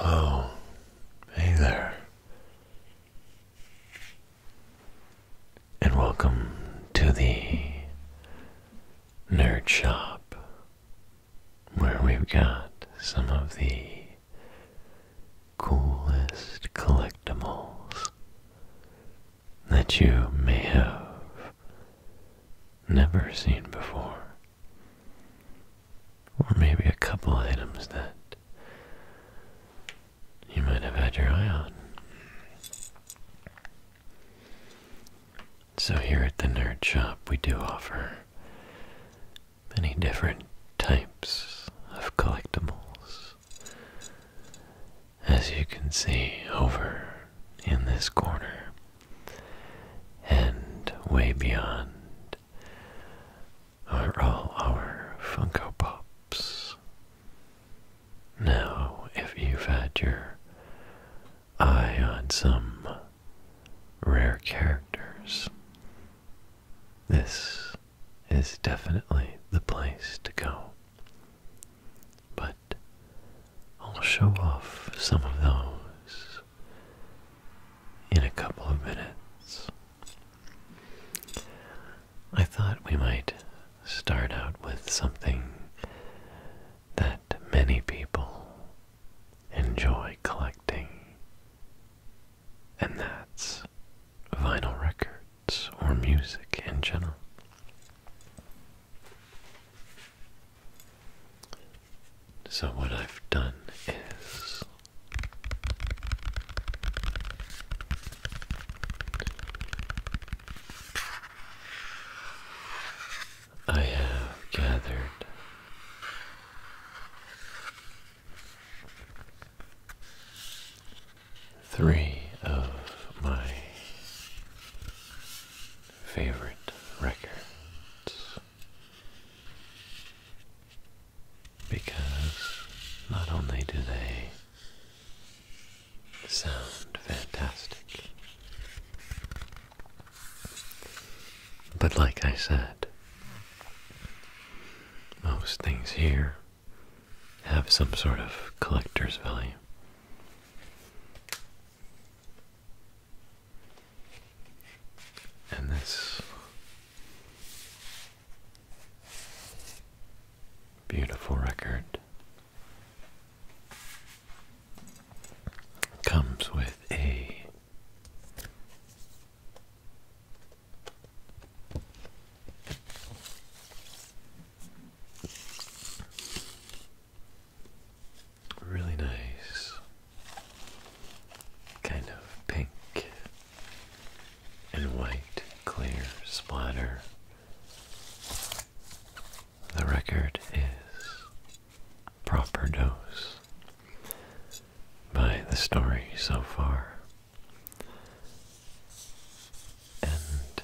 Oh, hey there, and welcome to the Nerd Shop, where we've got some of the coolest collectibles that you may have never seen before. Or maybe a couple items that you might have had your eye on. So, here at the Nerd Shop, we do offer many different types of collectibles as you can see over in this corner and way beyond are all our Funko Pops. Now, if you've had your eye on some rare characters, this is definitely the place to go. But I'll show off some of those in a couple of minutes. I thought we might start out with something that many people enjoy collecting, and that's vinyl records or music in general. So, what I've done is I have gathered Three of my favorite records because not only do they sound fantastic, but like I said, most things here have some sort of collector's value. And this beautiful record comes with a Really nice, kind of pink and white clear splatter. The record is proper dose by the story so far. And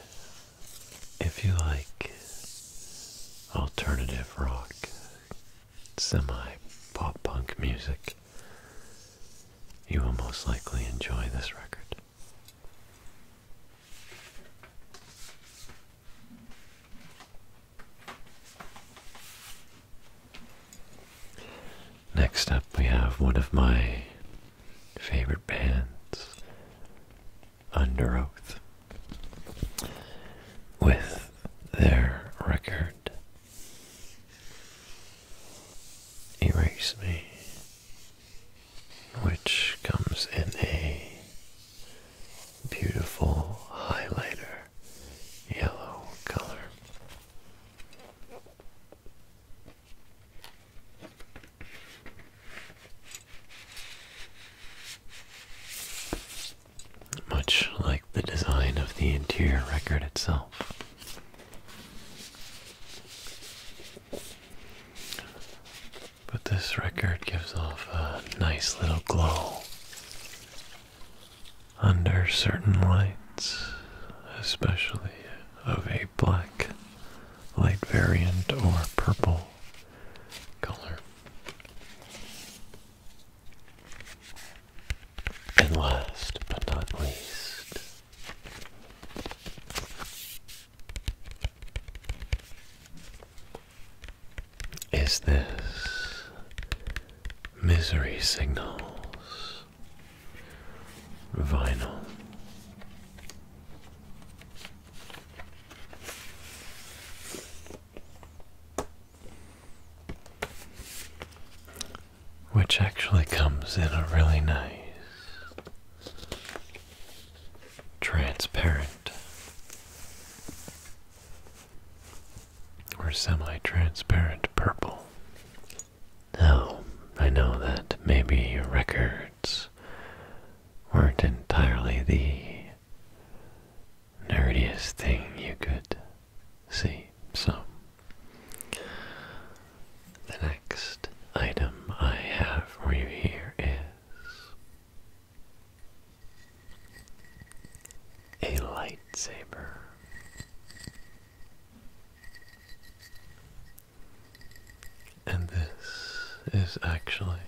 if you like alternative rock, semi pop punk music, you will most likely enjoy this record. Next up, we have one of my favorite bands, Under Oath, with their record Erase Me, which comes in a beautiful highlighter yellow color. Much like the design of the interior record itself. But this record gives off a nice little glow under certain lights, especially of a black light variant or purple color. And last but not least, is this Misery Signals vinyl? Which actually comes in a really nice transparent or semi-transparent purple. Now, I know that maybe records weren't entirely the nerdiest thing you could see, so the next item I have for you here is a lightsaber. And this is actually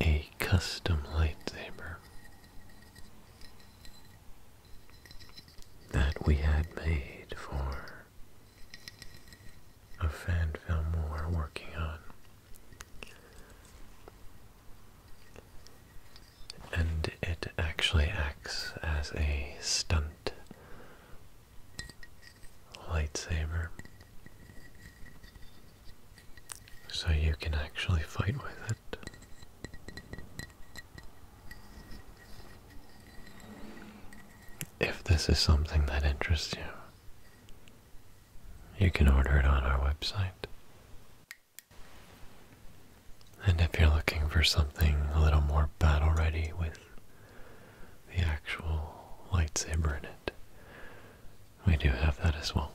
a custom lightsaber that we had made for a fan film we are working on and it actually acts as a stunt lightsaber. So you can actually fight with it. If this is something that interests you, you can order it on our website. And if you're looking for something a little more battle ready with the actual lightsaber in it, we do have that as well.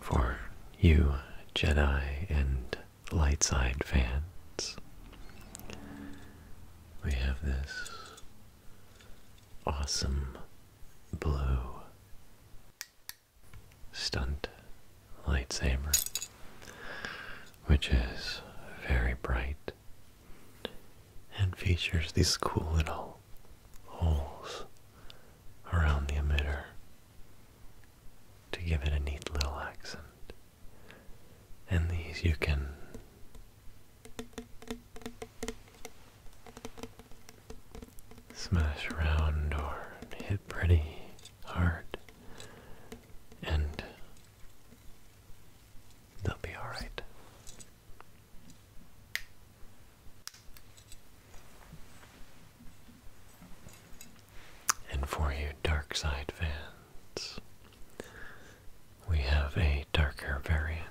For you, Jedi and light side fans. We have this awesome blue stunt lightsaber, which is very bright and features these cool little holes around the emitter to give it a neat little accent and these you can smash around or hit pretty hard and they'll be alright. And for you Dark Side fans, we have a darker variant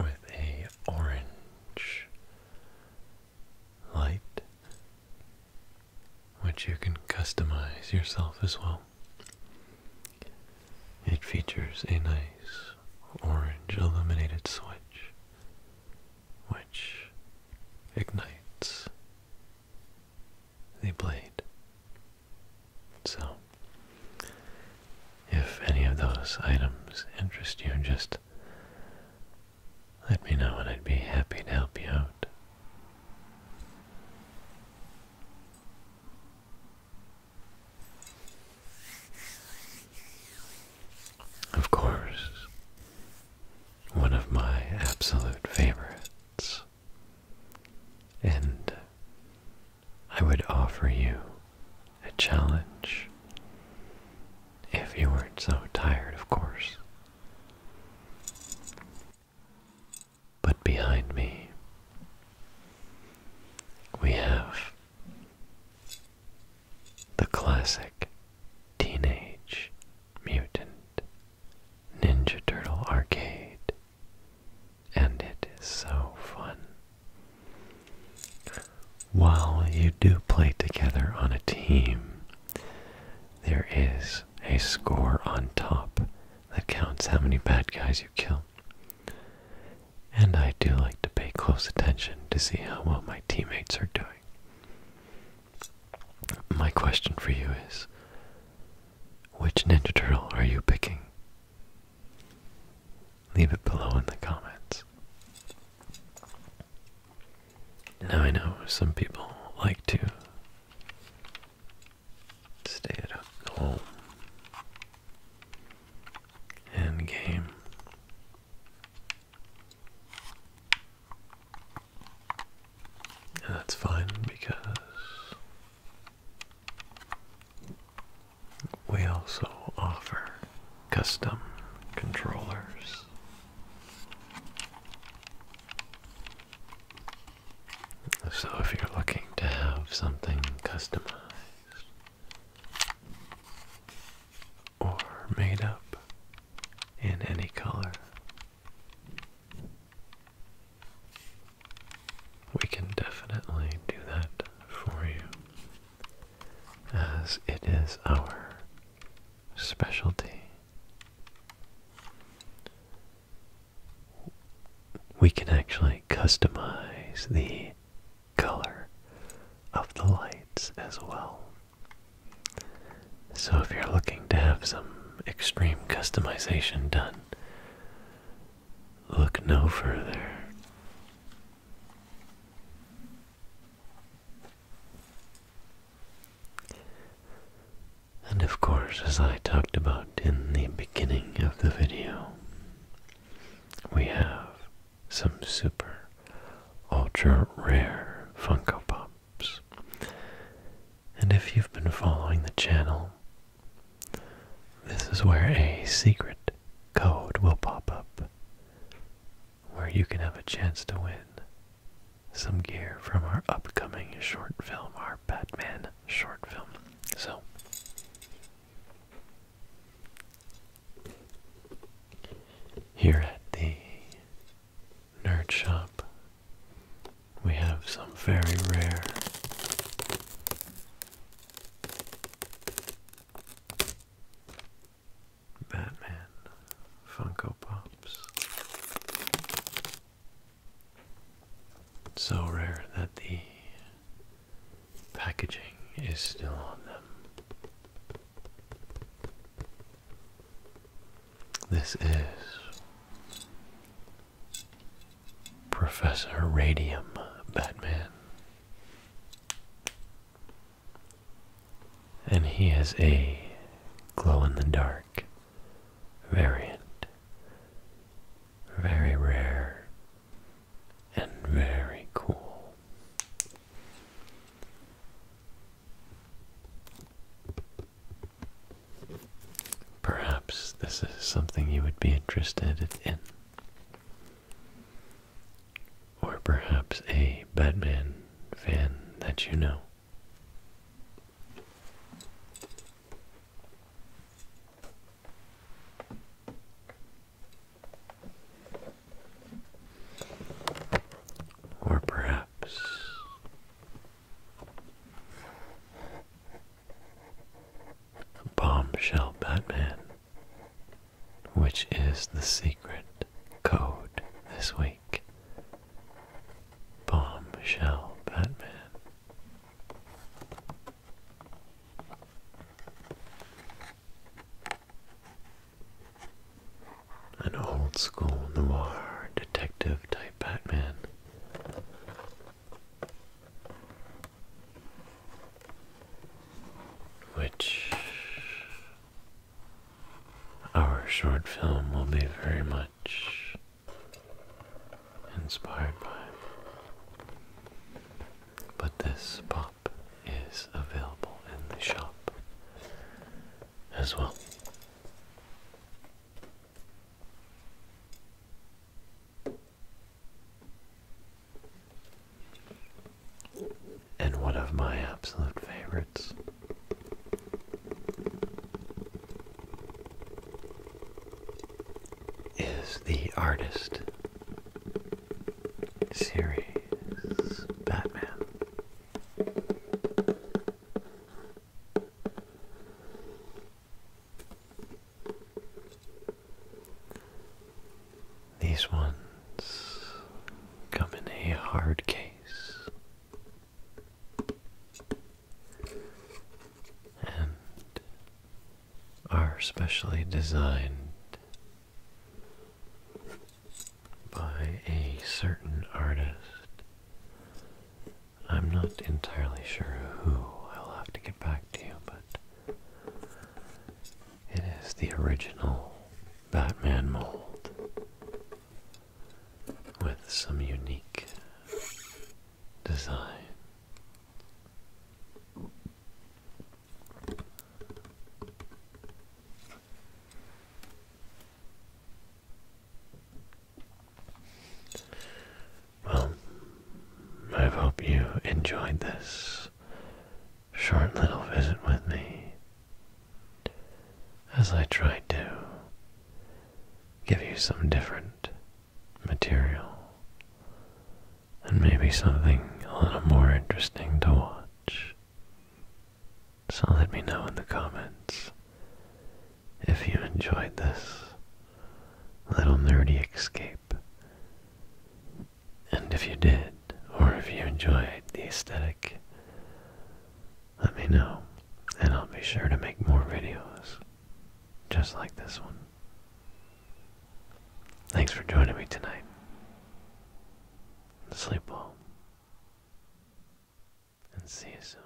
with a orange light which you can customize yourself as well. It features a nice orange illuminated switch which ignites the blade. So, if any of those items interest you, just let me know and I'd be happy to help you out. Of course, one of my absolute favorites. And I would offer you a challenge if you weren't so tired, of course. But behind me, we have the classic Teenage Mutant Ninja Turtle arcade, and it is so fun. While you do play together on a team, there is a score on top that counts how many bad guys you kill. And I do like to pay close attention to see how well my teammates are doing. My question for you is which Ninja Turtle are you picking? Leave it below in the comments. Now I know some people like to stay at home and game that's fine because we also offer custom controllers. So if you're looking to have something customized, or made up in any color. We can definitely do that for you, as it is our specialty. We can actually customize the color of the lights as well. So if you're looking to have some extreme customization done, look no further. And of course, as I talked about in the beginning of the video, we have some super ultra rare Funko Pops. And if you've been following the channel, this is where a secret code will pop up where you can have a chance to win some gear from our upcoming short film, our Batman short film. So, here at the Nerd Shop, we have some very rare Batman Funko Pops. So rare that the packaging is still on them. This is Professor Radium Batman. And he is a glow in the dark variant. Very rare and very cool. Perhaps this is something you would be interested in. Or perhaps a Batman fan that you know. Or perhaps Bombshell Batman, which is the secret code this week. Bombshell Batman. An old school noir detective type Batman. Which our short film will be very much inspired by but this pop is available in the shop as well. And one of my absolute favorites is the artist series Batman. These ones come in a hard case and are specially designed by a certain artist. I'm not entirely sure who. I'll have to get back to you, but it is the original Batman mold with some unique design. Well, I hope you enjoyed this short little visit with me as I tried to give you some different material and maybe something a little more interesting to watch. So let me know in the comments if you enjoyed this little nerdy escape. And if you did, or if you enjoyed the aesthetic, let me know, and I'll be sure to make more videos just like this one. Thanks for joining me tonight. Sleep well. And see you soon.